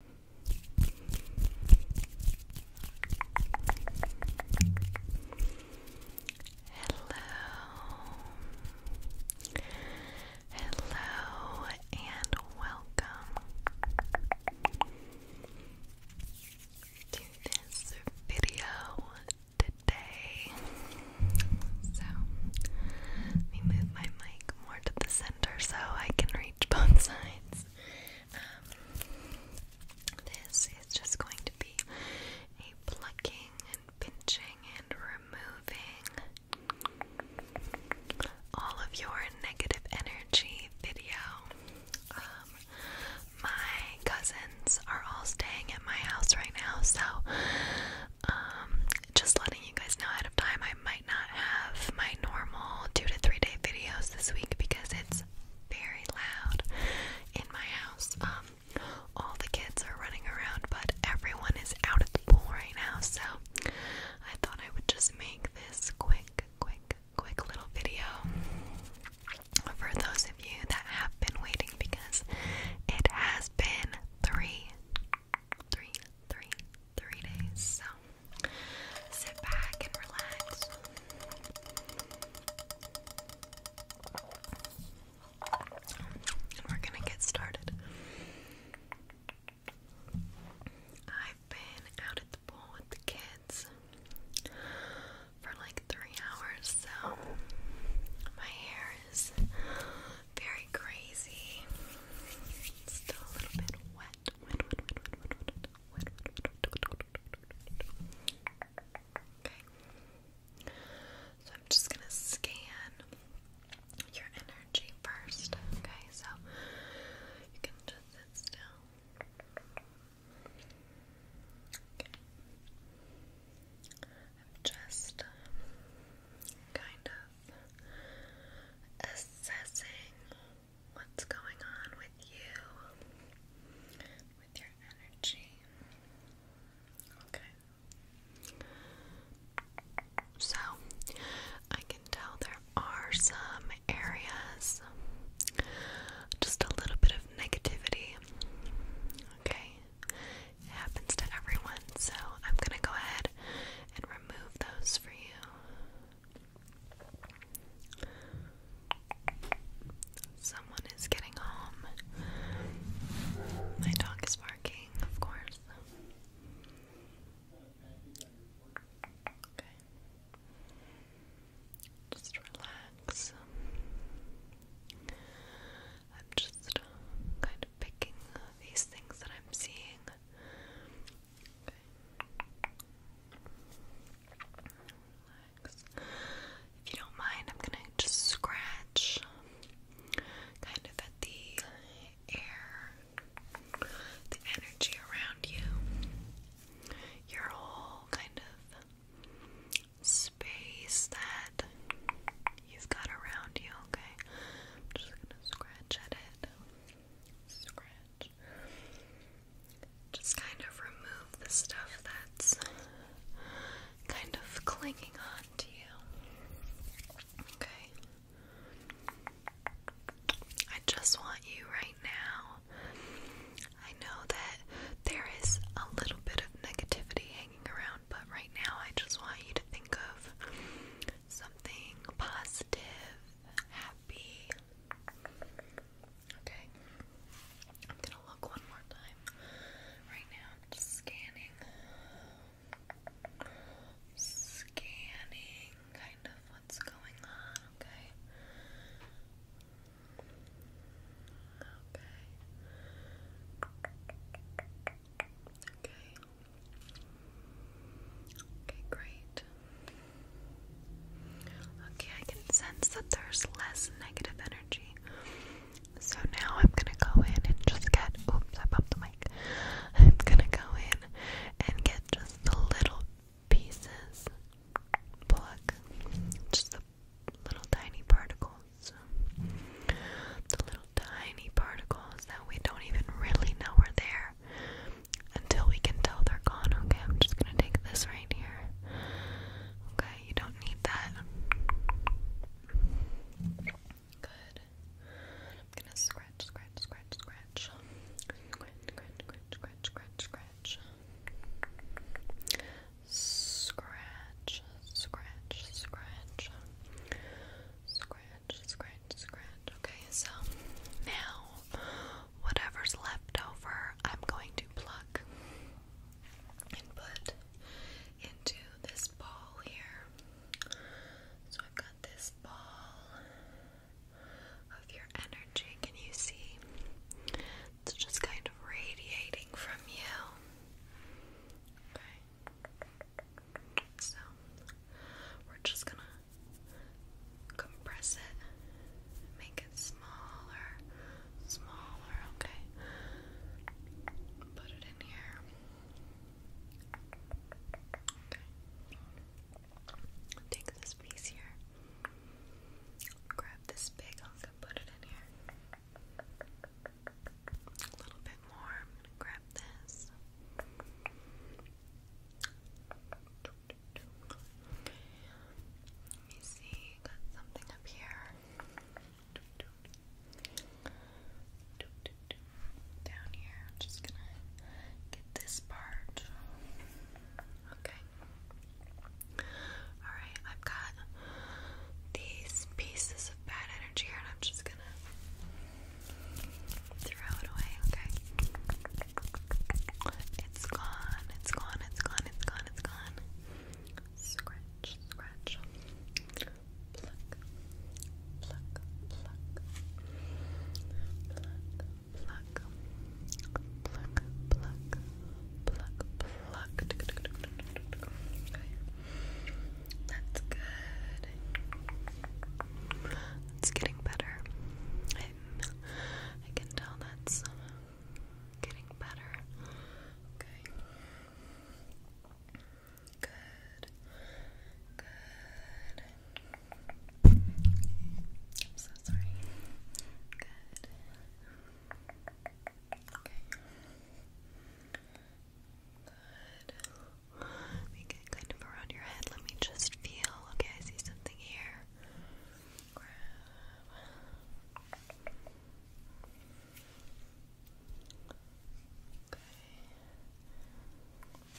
Hello, hello, and welcome to this video today. So, let me move my mic more to the center so I can reach both sides. Um, this is just going to be a plucking and pinching and removing all of your negative energy video. Um, my cousins are all staying at my house right now, so um, just letting you guys know ahead of time I might not have my normal two to three day videos this week because it's very loud in my house. Um, all the kids are running around, but everyone is out at the pool right now, so I thought I would just make this quick, quick, quick little video for those of you that have been waiting because it has been three three, three, three days. So sit back and relax. And we're gonna get started. I've been out at the pool with the kids for like three hours, so my hair is very crazy. still a little bit wet. Okay. So I'm just gonna scan your energy first. Okay, so you can just sit still. I'm just kind of assessing what's going on with you, with your energy. Okay. So, I can tell there are some areas, just a little bit of negativity. Okay. happens to everyone, so I'm going to go ahead and remove those for you. Someone is getting home. My dog is barking, of course. Just relax. I'm just kind of picking these things that I'm seeing. If you don't mind, I'm gonna just scratch kind of at the air, the energy around you, your whole kind of space that you've got around you, okay? I'm just gonna scratch at it. Just kind of remove the stuff that's kind of clinging on to you. Okay. I just want you right now. I know that there is a little bit of negativity hanging around, but right now I just want you to think of something positive, happy. Okay, I'm gonna look one more time. Right now, I'm just scanning, scanning kind of what's going on. Okay, okay, okay. Okay, great. Okay, I can sense that there's less negative energy. So now I'm gonna go in and just get. Oops, I bumped the mic. I'm gonna go in and get just the little pieces. Pluck. Just the little tiny particles. The little tiny particles that we don't even really know are there here until we can tell they're gone. Okay, I'm just gonna take this right here. Okay, you don't need that. Good. I'm gonna scratch, scratch, scratch, scratch. Scratch, scratch, scratch, scratch, scratch, scratch. Scratch, scratch, scratch. Scratch, scratch, scratch. Okay, so now whatever's left over, I'm going to pluck and put into this ball here. So I've got this ball of your energy. Can you see? It's just kind of radiating from you. So we're just gonna compress it, make it smaller, smaller, okay? Put it in here. Okay. Take this piece here. Grab this big hunk put it in here. A little bit more. grab this. Let me see, got something up here. Down here, I'm just gonna get this part. Okay. Alright, I've got these pieces of bad energy here, and I'm just gonna Throw it away, okay? It's gone, it's gone, it's gone, it's gone, it's gone. Scratch, scratch. Pluck, pluck, pluck. Pluck, pluck. Pluck, pluck, pluck, pluck. That's good. It's getting better. i can tell that's getting better. Okay. Good. Good. I'm so sorry. Good. Okay. Good. Make it kind of around your head. Let me just feel. Okay, I see something here. Okay.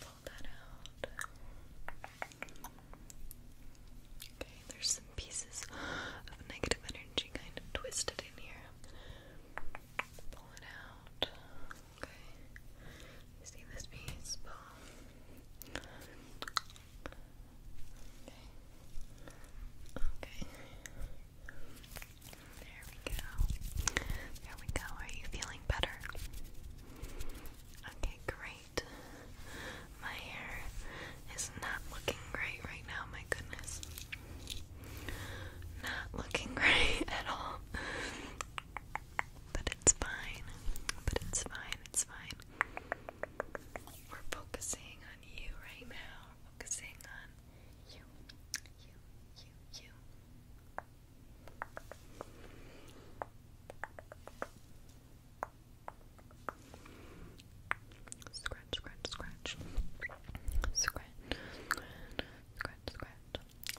Pull that out. Okay, there's some pieces of negative energy kind of twisted in here. Pull it out. Okay. See this piece, Okay. Okay. There we go. There we go. Are you feeling better? Okay, great. My hair is not looking great right now, my goodness. Not looking great at all. But it's fine. But it's fine. It's fine. We're focusing on you right now. focusing on you. You, you, you. Scratch, scratch, scratch. Scratch, scratch, scratch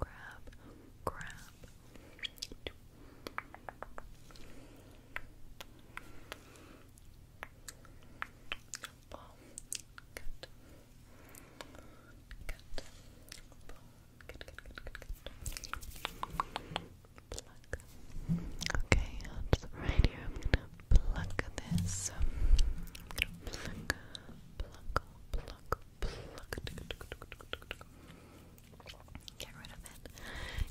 grab, grab. Okay, right here. I'm gonna pluck this. pluck, pluck, pluck, Get rid of it.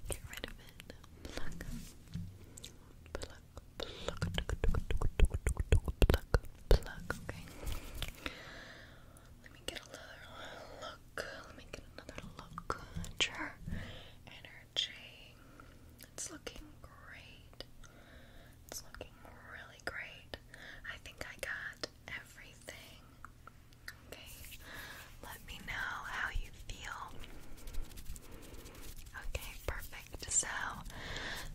Get rid of it. Pluck. Pluck. Pluck. Pluck. Pluck. Okay. Let me get another look. Let me get another look at energy. It's looking great. It's looking really great. I think I got everything. Okay, let me know how you feel. Okay, perfect. So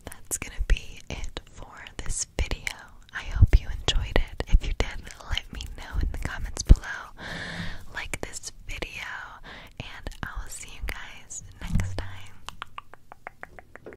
that's gonna be it for this video. I hope you enjoyed it. If you did, let me know in the comments below. Like this video, and I will see you guys next time.